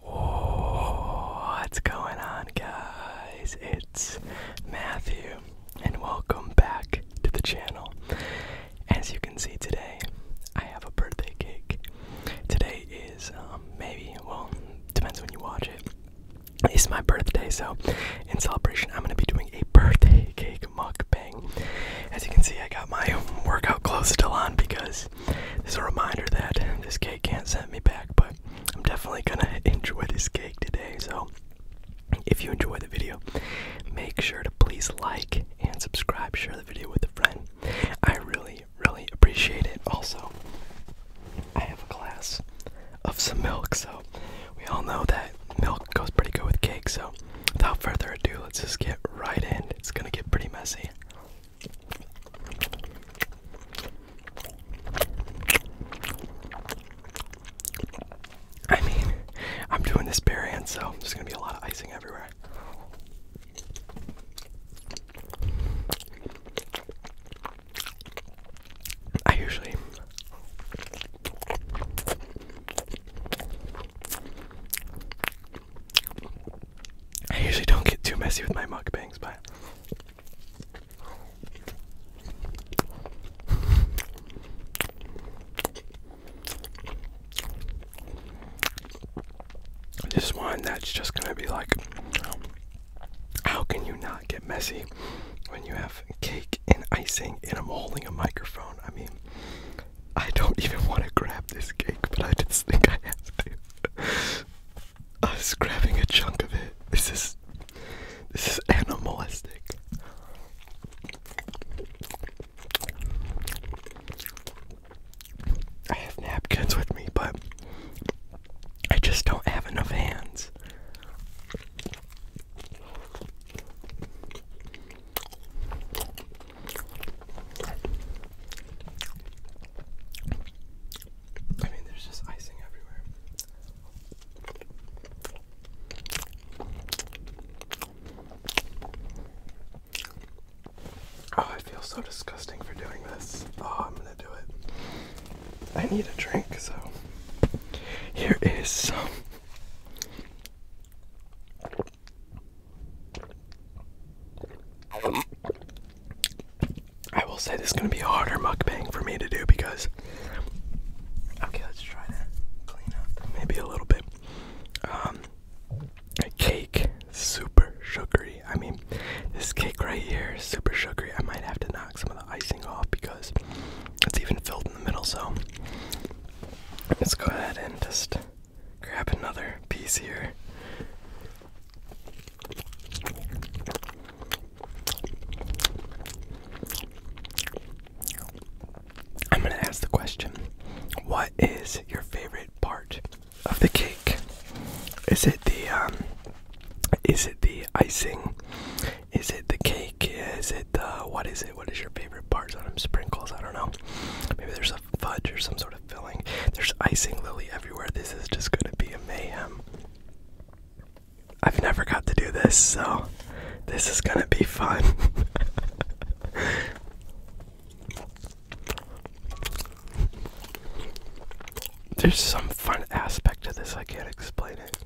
What's going on, guys? It's Matthew, and welcome back to the channel. As you can see today, I have a birthday cake. Today is um, maybe, well, depends when you watch it. It's my birthday, so in celebration, I'm gonna be doing a birthday cake mukbang. As you can see, I got my workout clothes still on because this is a reminder that this cake can't send me back, but I'm definitely gonna enjoy this cake today. So, if you enjoy the video, make sure to please like and subscribe. Share the video with a friend. I really, really appreciate it. Also, I have a glass of some milk, so we all know that milk goes pretty good with cake. So, without further ado, let's just get right in. It's gonna get pretty messy. I mean, I'm doing this bare hand, so there's gonna be a lot of icing everywhere. I usually I usually don't get too messy with my mukbangs, but this one that's just gonna be like, how can you not get messy when you have cake and icing and I'm holding a microphone? I mean, I don't even want to grab this cake, but I just think I have to. I was grabbing a chunk of it. This is this is animalistic. I have napkins with me, but I just don't have enough hands. I mean, there's just icing everywhere. Oh, I feel so disgusting for doing this. Oh, I'm gonna do it. I need a drink, so here is some um, I will say this is gonna be a harder mukbang for me to do because. Okay, let's try to clean up maybe a little bit. Um, a cake, super sugary. I mean, this cake right here is super sugary. I might have to knock some of the icing off because it's even filled in the middle. So let's go ahead and just grab another piece here. I'm going to ask the question What is your favorite part of the cake? Is it the, um, is it the icing? Is it the cake? Is it the, what is it? What is your favorite part? On them sprinkles, I don't know. Maybe there's a fudge or some sort of filling. There's icing lily everywhere. This is just going to be a mayhem. I've never got to do this, so this is going to be fun. There's some fun aspect to this, I can't explain it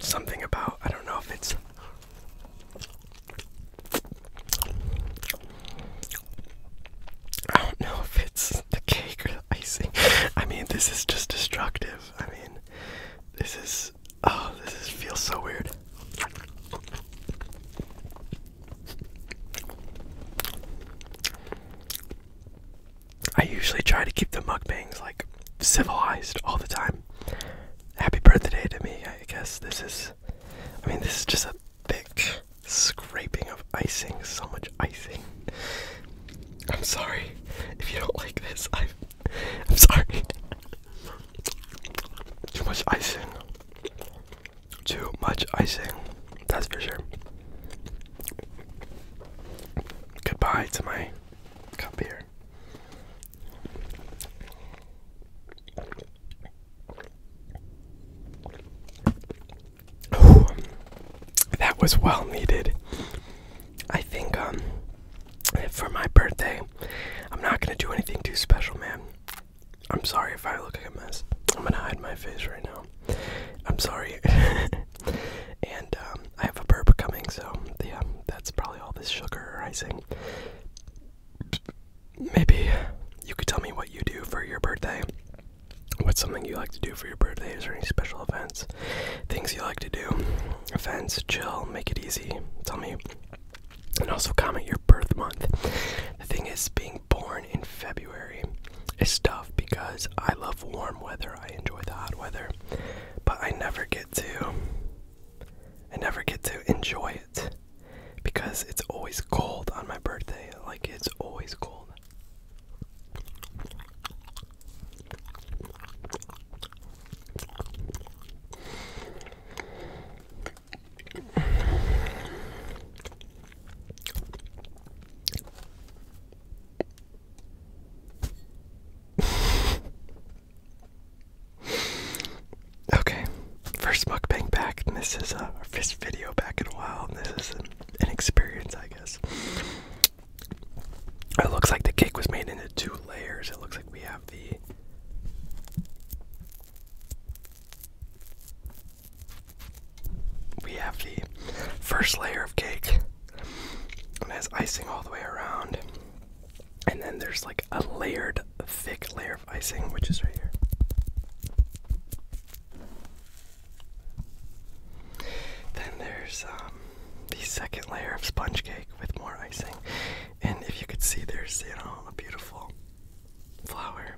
something about I don't know if it's I don't know if it's the cake or the icing. I mean, this is just destructive. I mean, this is oh, this is, feels so weird. I usually try to keep the mukbangs like civilized all the time. Happy birthday to me, I guess. This is, I mean, this is just a thick scraping of icing. So much icing. I'm sorry if you don't like this. I, I'm sorry. Too much icing. Too much icing. That's for sure. Goodbye to my Cup here. that was well needed. I think um for my birthday, I'm not gonna do anything too special, man. I'm sorry if I look like a mess. I'm gonna hide my face right now. I'm sorry. And um, I have a burp coming, so yeah, that's probably all this sugar or icing. Maybe you could tell me what you do for your birthday. What's something you like to do for your birthdays, or any special events? Things you like to do? Events, chill, make it easy. Tell me. And also comment your birth month. The thing is, being born in February is tough because I love warm weather. I enjoy the hot weather but I never get to I never get to enjoy it because it's always cold on my birthday. Like it's always cold okay, first mukbang back, this is uh, first video back in a while, and this is an, experience, I guess. It looks like the cake was made into two layers. It looks like we have the we have the first layer of cake it has icing all the way around. And then there's like a layered, thick layer of icing, which is right here. Then there's um, the second layer of sponge cake with more icing. And if you could see, there's, a beautiful flower.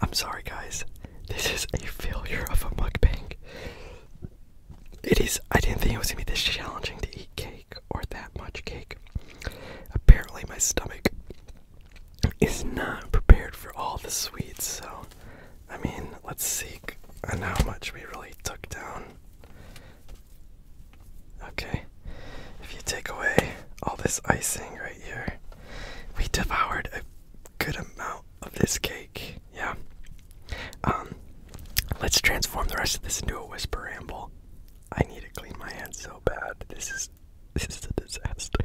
I'm sorry, guys. This is a failure of a mug mukbang. It is, I didn't think it was gonna be this challenging to eat cake or that much cake. Apparently, my stomach is not prepared for all the sweets, so I mean, let's see how much we really took down. Okay, if you take away all this icing right here, we devoured a good amount of this cake yeah. Um, let's transform the rest of this into a whisper ramble. I need to clean my hands so bad. This is this is a disaster.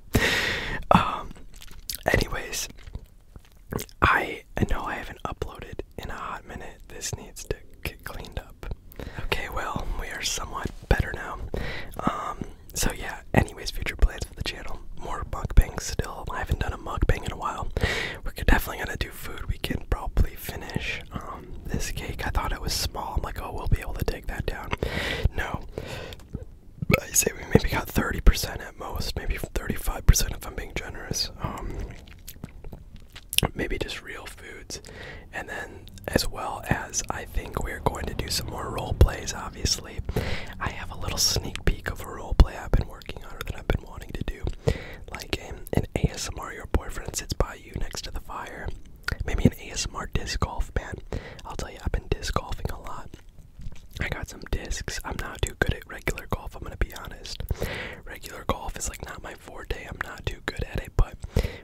um, anyways, I I know I haven't uploaded in a hot minute. This needs to get cleaned up. Okay, well, we are somewhat better now. Um, so yeah, anyways, future plans for the channel. More mukbangs still. I haven't done a mukbang in a while. We're definitely gonna do food. We can probably finish um, this cake. I thought it was small. I'm like, oh, we'll be able to take that down. No. I say we maybe got 30% at most, maybe 35% if I'm being generous. Um, maybe just real foods. And then, as well as, I think we're going to do some more role plays, obviously. I have a little sneak peek of a roleplay I've been working on or that I've been wanting to do. Like um, an ASMR, your boyfriend sits by you next to the fire. Maybe an ASMR disc golf, man. I'll tell you, I've been disc golfing a lot. I got some discs. I'm not too good at regular golf, I'm gonna be honest. Regular golf is like not my forte, I'm not too good at it, but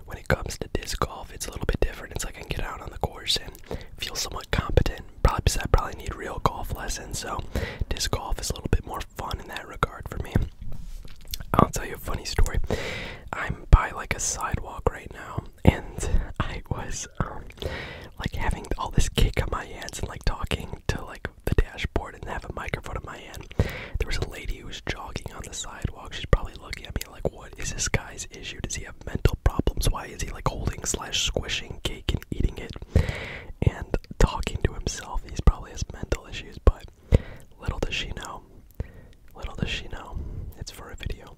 when it comes to disc golf, it's a little bit different. It's like I can get out on the course and feel somewhat competent. Probably said. I probably need real golf lessons, so disc golf is a little bit more fun in that regard for me. I'll tell you a funny story. I'm by like a sidewalk right now, and I was um, like having all this cake on my hands and like talking to like the dashboard and have a microphone in my hand. There was a lady who was jogging on the sidewalk. She's probably looking at me like, "What is this guy's issue? Does he have?" mental problems. Why is he like holding slash squishing cake and eating it and talking to himself? He's probably has mental issues, but little does she know. Little does she know. It's for a video.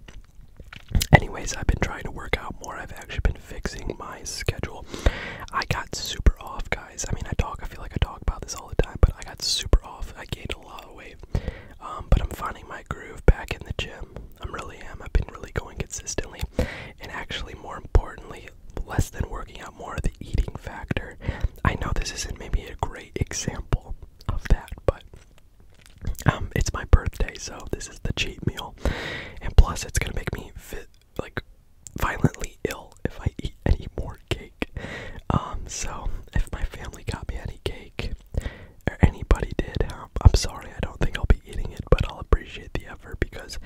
Anyways, I've been trying to work out more. I've actually been fixing my schedule. I got super off, guys. I mean, I talk, I feel like I talk about this all the time, but I got super off. I gained a lot of weight. Um, but I'm finding my groove back in the gym. I'm really am. I've been really going consistently, and actually, more importantly, less than working out, more the eating factor. I know this isn't maybe a great example of that, but um, it's my birthday, so this is the cheat meal, and plus, it's gonna make me fit like violently ill if I eat any more cake. Um, so if my family got me any cake, or anybody did, I'm sorry. I don't think I'll be eating it, but I'll appreciate the effort because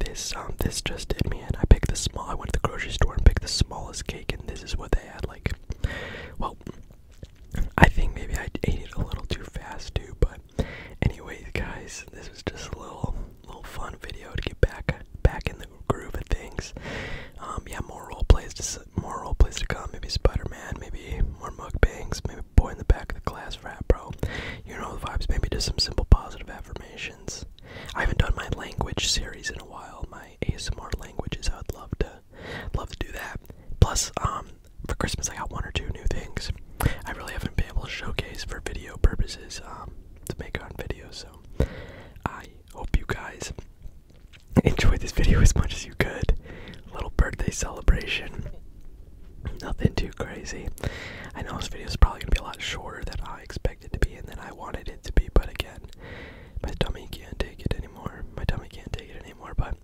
this um, this just did me And I picked the small. I went to the grocery store and picked the smallest cake, and this is what they had. Like, well, I think maybe I ate it a little too fast too. But anyways, guys, this was just a little little fun video to get back back in the groove of things. Um, yeah, more role plays more role plays to come. Maybe Spider Man. Maybe more mukbangs, maybe boy in the back of the class rap, bro. You know the vibes, maybe just some simple positive affirmations. I haven't done my language series in a while, my ASMR languages. I would love to love to do that. Plus, um, for Christmas I got one or two new things. I really haven't been able to showcase for video purposes, um, to make on video, so I hope you guys enjoy this video as much as you could little birthday celebration. Nothing too crazy. I know this video is probably gonna be a lot shorter than I expected to be and than I wanted it to be, but again, my tummy can't take it anymore. My tummy can't take it anymore, but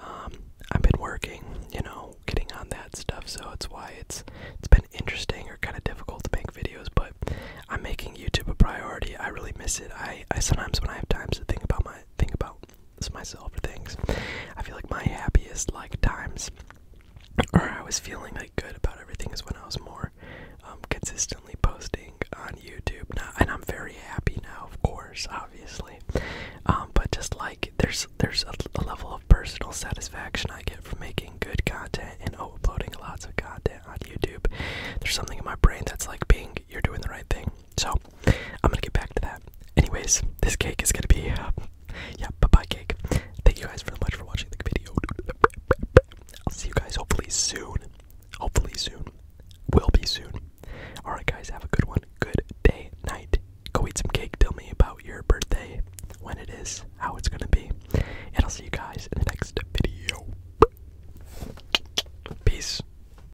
um, I've been working, you know, getting on that stuff, so it's why it's it's been interesting or kind of difficult to make videos, but I'm making YouTube a priority. I really miss it. I, I sometimes when I have times to think about my think about it's myself for things. I feel like my happiest like times or I was feeling like good about everything is when I was more um, consistently posting on YouTube. and I'm very happy now, of course, obviously. Um, but just like there's there's a, a level of personal satisfaction I get from making good content and uploading lots of content on YouTube. There's something in my brain that's like being you're doing the right thing. So I'm gonna get back to that. Anyways, this cake is gonna be uh, yeah, bye bye cake. Thank you guys very much for watching the video. I'll see you guys hopefully soon. Hopefully soon. Will be soon. Alright guys, have a good one. Good day, night. Go eat some cake. Tell me about your birthday, when it is, how it's gonna be. And I'll see you guys in the next video. Peace.